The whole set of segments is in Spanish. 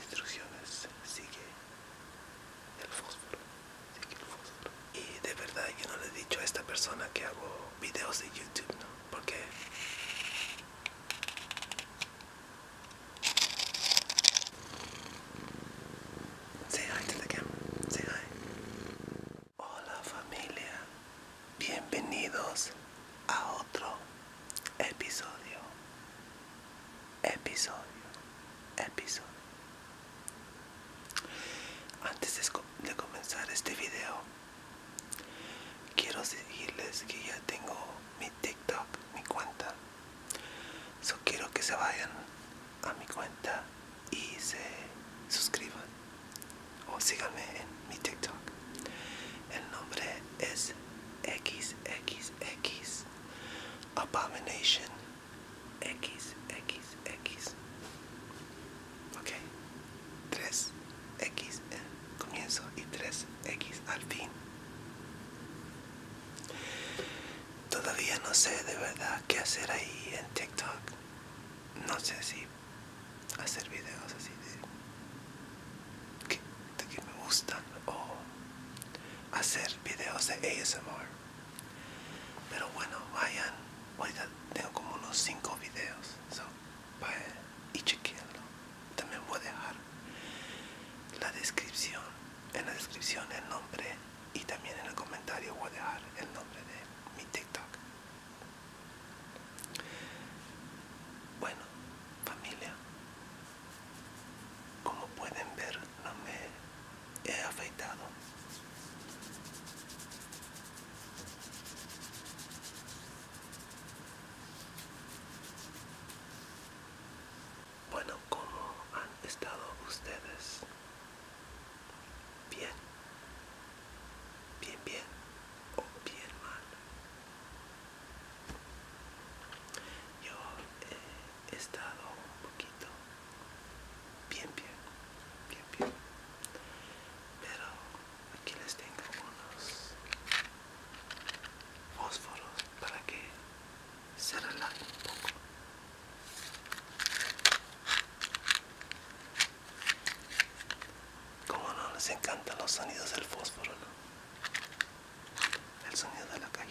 Instrucciones, sigue el fósforo, sigue el fósforo. Y de verdad yo no le he dicho a esta persona que hago videos de YouTube, ¿no? Porque... Say hi to the camera, Hola familia, bienvenidos a otro episodio, episodio, episodio. Antes de comenzar este video, quiero decirles que ya tengo mi TikTok, mi cuenta. So quiero que se vayan a mi cuenta y se suscriban o síganme en mi TikTok. El nombre es XXX Abomination XXX. Ok, 3X en comienzo y 3X al fin. Todavía no sé de verdad qué hacer ahí en TikTok. No sé si hacer videos así de que, me gustan o hacer videos de ASMR pero bueno vayan ahorita tengo como unos 5 videos so, vayan y chequenlo también voy a dejar la descripción en la descripción el nombre y también en el comentario voy a dejar el nombre de mi tiktok bueno, familia, como pueden ver, no me he afeitado. Bueno, ¿cómo han estado ustedes? Bien, bien, bien o bien mal. Yo eh, he estado un poquito bien, bien, bien, bien. Pero aquí les tengo unos fósforos para que se relajen un poco. Como no les encantan los sonidos del fósforo, ¿no? el sonido de la cajita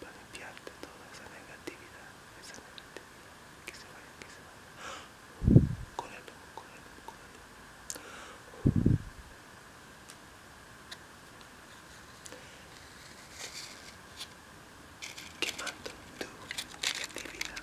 Para limpiarte toda esa negatividad, esa negatividad, que se vaya, que se vaya. Con el ojo, con el ojo con el lomo. Quemando tu negatividad.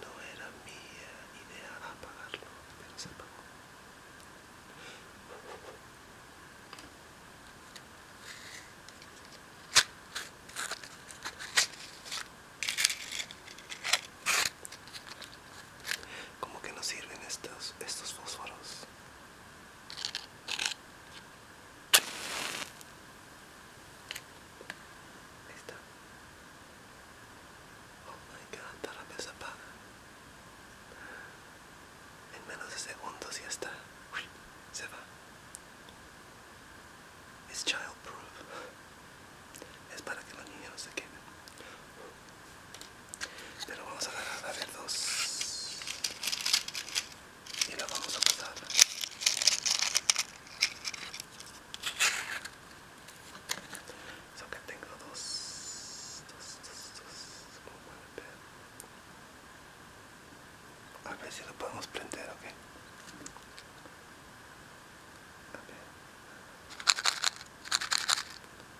No era mía idea apagarlo, pero se apagó. ¿Cómo que no sirven estos fósforos. Listo. Oh my god, está la se apaga. En menos de segundos ya está. se va. Es proof Es para que los niños no se queden pero vamos a agarrar a ver dos y la vamos a pasar so que tengo dos dos dos dos a ver si lo podemos prender ok a ver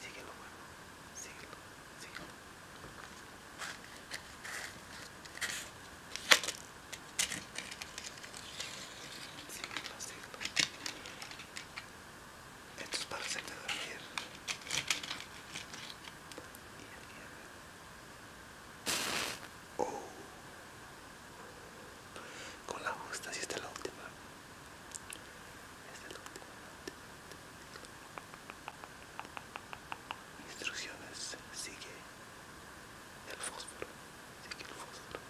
Síguelo, bueno. Síguelo, síguelo. Síguelo, síguelo. Esto es para hacerte dormir. Oh. Con la justa, si esta es la última. Este Instrucciones. Sigue el fósforo. Sigue el fósforo.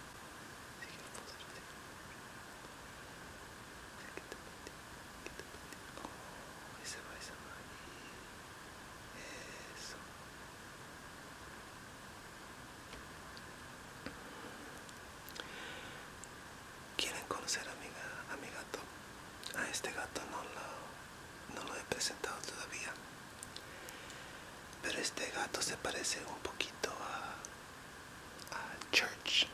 Sigue el fósforo. Sigue. el quieren conocer a mi, gato. A este gato no lo, no lo he presentado todavía. Pero este gato se parece un poquito a, a Church.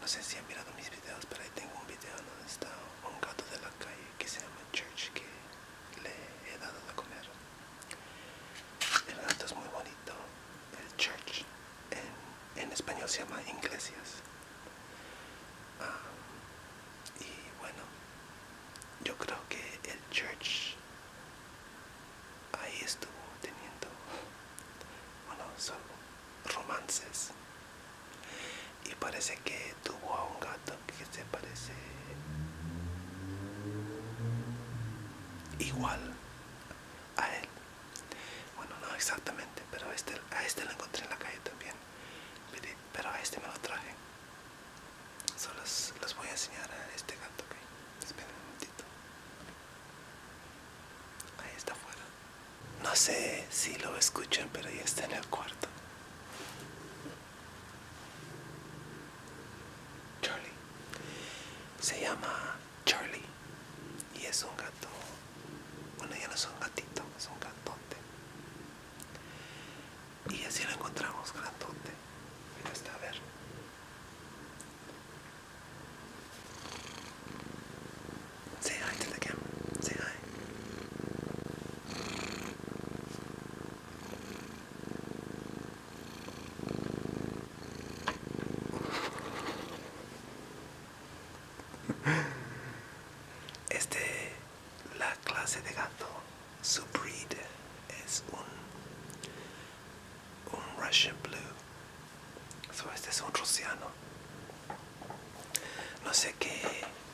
No sé si han mirado mis videos, pero ahí tengo un video donde está un gato de la calle que se llama Church que le he dado de comer. El gato es muy bonito, church en, español se llama iglesias. Ah, y bueno, yo creo que el church ahí estuvo teniendo, bueno, son romances. Y parece que tuvo a un gato que se parece igual a él. Bueno, no exactamente, pero este, a este, lo encontré en la calle también. Pero a este me lo traje. Solo los, voy a enseñar a este gato, ok. Esperen un momentito. Ahí está afuera. No sé si lo escuchan, pero ya está en el cuarto. Charlie. Se llama Charlie. Y es un gato. Bueno, ya no es un gatito, es un gatonte. Y así lo encontramos, gatonte. Mira, está a ver. Say hi to the camera. Say hi. Es este, la clase de gato. Su breed es un, un Russian Blue. So este es un rusiano. No sé qué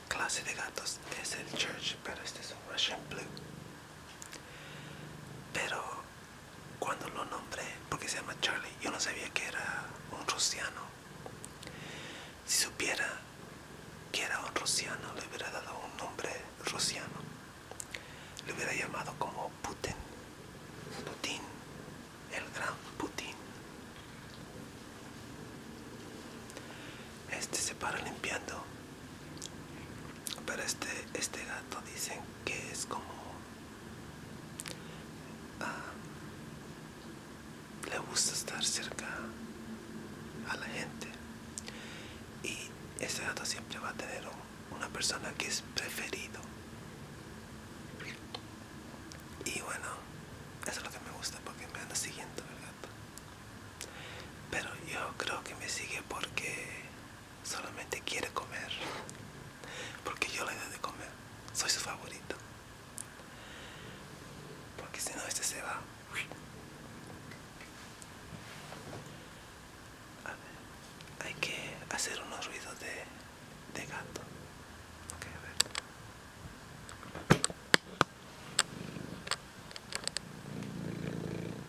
clase de gatos es el Church, pero este es un Russian Blue. Pero cuando lo nombré, porque se llama Charlie, yo no sabía que era un rusiano. Si supiera que era un rusiano, le hubiera dado un nombre rusiano. Le hubiera llamado como Putin. Putin. El gran Putin. Este se para limpiando. Pero este, este gato dicen que es como Ah, le gusta estar cerca a la gente y ese gato siempre va a tener una persona que es preferido y bueno eso es lo que me gusta porque me anda siguiendo el gato pero yo creo que me sigue porque solamente quiere comer, porque yo le doy de comer, soy su favorito, porque si no este se va. A ver, hay que hacer unos ruidos de, gato. Ok, a ver.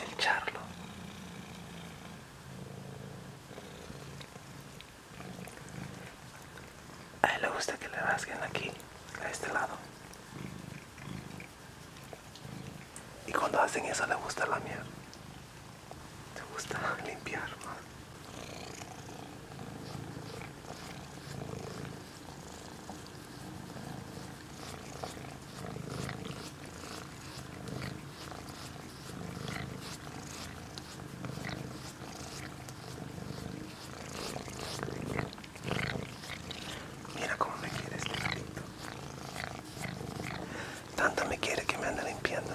El charlo. A él le gusta que le rasguen aquí, a este lado. Y cuando hacen eso le gusta la Le Te gusta limpiar, Mira cómo me quiere este gatito. Tanto me quiere que me anda limpiando.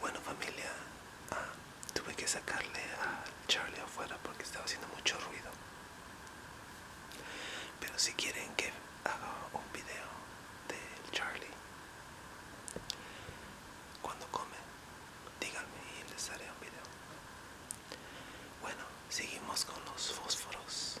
Bueno familia, ah, tuve que sacarle a Charlie afuera porque estaba haciendo mucho ruido. Pero si quieren que haga un video de Charlie cuando come, díganme y les haré un video bueno seguimos con los fósforos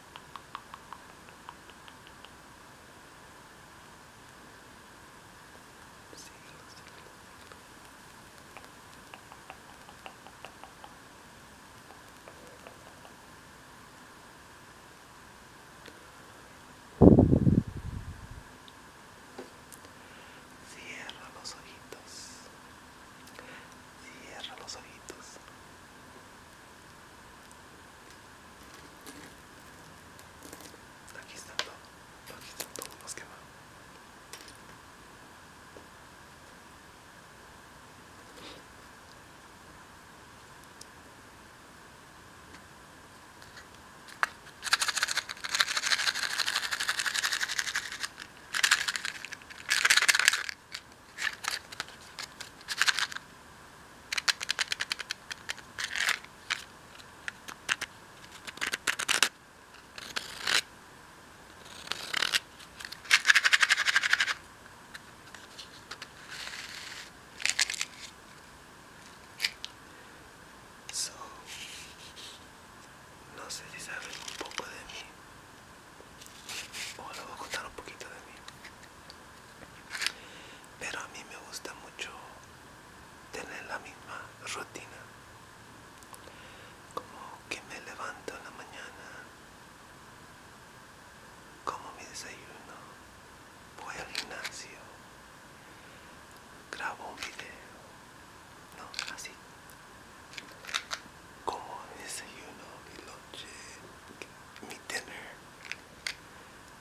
Cierra los ojitos. Cierra los ojitos. スタキスタンとパキスタンとモスケ So, no sé si saben un poco de mí Ahora oh, voy a contar un poquito de mí. Pero a mí me gusta mucho tener la misma rutina. Como que me levanto en la mañana, como mi desayuno, voy al gimnasio, grabo un video, no, así. Como mi desayuno y lo mi dinner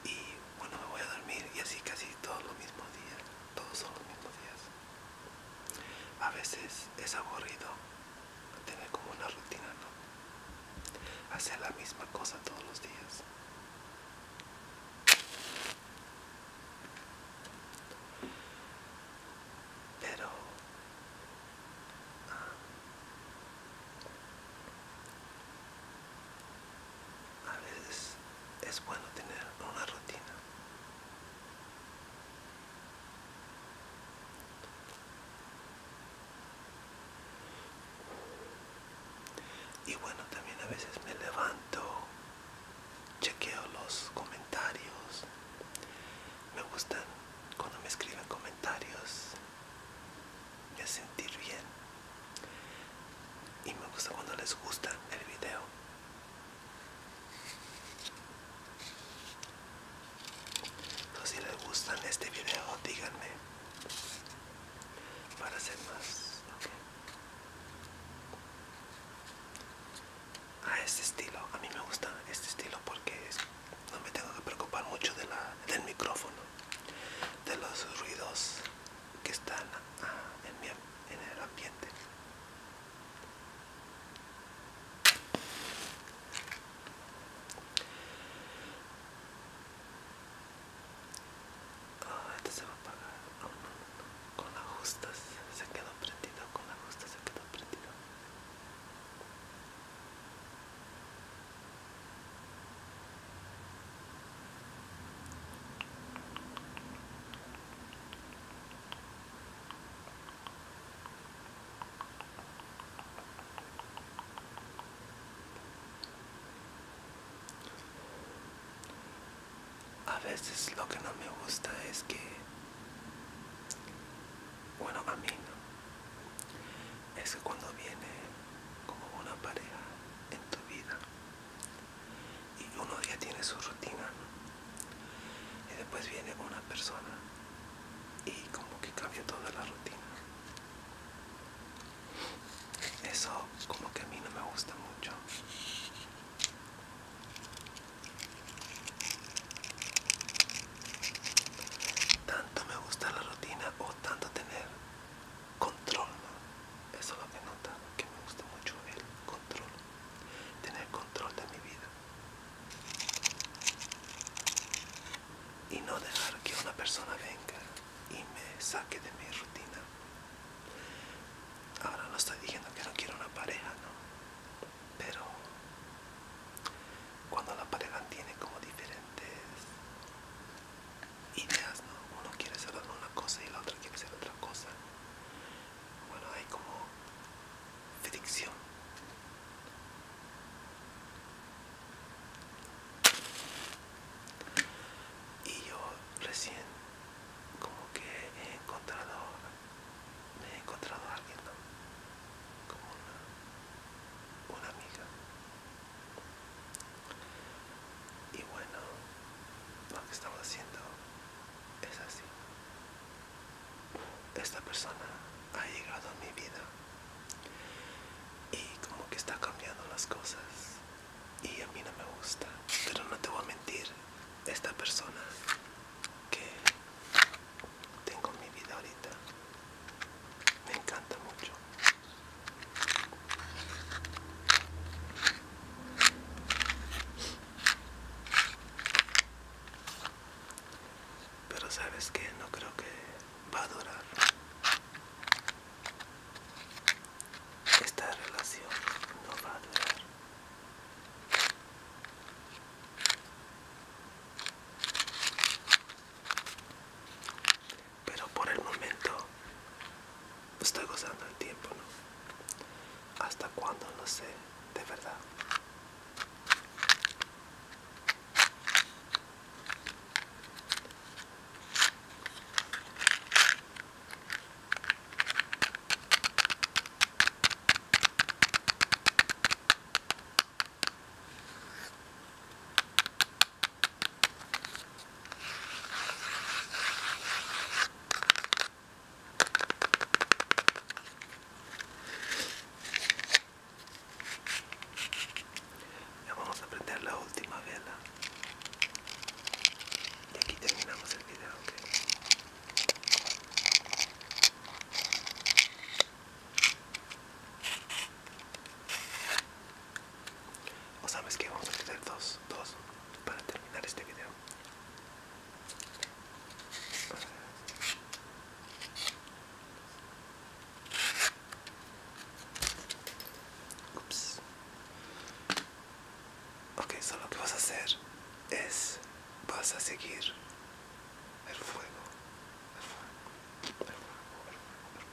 y bueno me voy a dormir y así casi todos los mismos días, todos son los mismos días. A veces es aburrido tener como una rutina, ¿no? Hacer la misma cosa todos los días. Pero a veces es bueno tener una rutina. Y bueno, también a veces me levanto, chequeo los comentarios. Me gustan cuando me escriben comentarios y a sentir bien. Y me gusta cuando les gusta el video. si les gusta este video, díganme para hacer más. A este estilo, a mí me gusta este estilo porque es no me tengo que preocupar mucho del micrófono, de los ruidos que están ah, en, en el ambiente. este se va a apagar. Oh, con no, se quedó prendido, con ajustes se quedó prendido. A veces lo que no me gusta es que, bueno, a mí no, es que cuando viene como una pareja en tu vida y uno ya tiene su rutina y después viene una persona y como que cambia toda la rutina eso como que a mí no me gusta mucho tanto me gusta la rutina o tanto tener control. Eso es lo que nota, que me gusta mucho el control. Tener control de mi vida. Y no dejar que una persona venga y me saque de mi rutina. Ahora no estoy diciendo que no quiero una pareja, no pero cuando la pareja tiene como diferentes ideas, uno quiere hacer una cosa y la otra quiere hacer otra cosa, bueno, hay como fricción. Y yo recién como que he encontrado me he encontrado a alguien, Como una, una amiga. Y bueno, lo que estamos haciendo es así. Esta persona ha llegado a mi vida y como que está cambiando las cosas y a mí no me gusta. Pero no te voy a mentir, esta persona que tengo mi vida ahorita. Me encanta mucho. Pero sabes que no creo que va a durar esta relación, no va a durar. Pero por el momento estoy gozando el tiempo, ¿no? Hasta cuándo, no sé, de verdad. Ya vamos a prender la última vela. Y aquí terminamos el video, ¿ok? O sabes que vamos a tener dos, dos para terminar este video. Ok, solo que vas a hacer es vas a seguir el fuego, el fuego, el fuego, el fuego.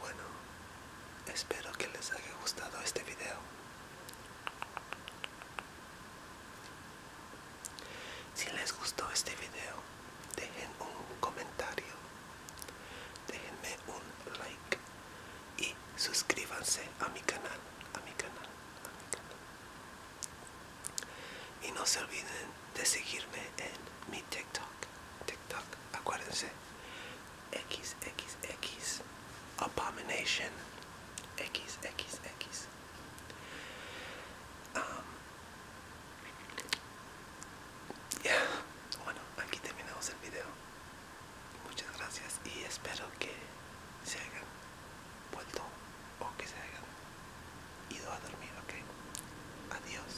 Bueno, espero que les haya gustado este video. Si les gustó este video, dejen un comentario, déjenme un like y suscríbanse a mi canal, a mi canal, a mi canal. Y no se olviden de seguirme en mi TikTok, TikTok, acuérdense, XXX Abomination XXX um, Bueno, aquí terminamos el video. Muchas gracias y espero que se hayan vuelto o que se hayan ido a dormir, ok. Adiós.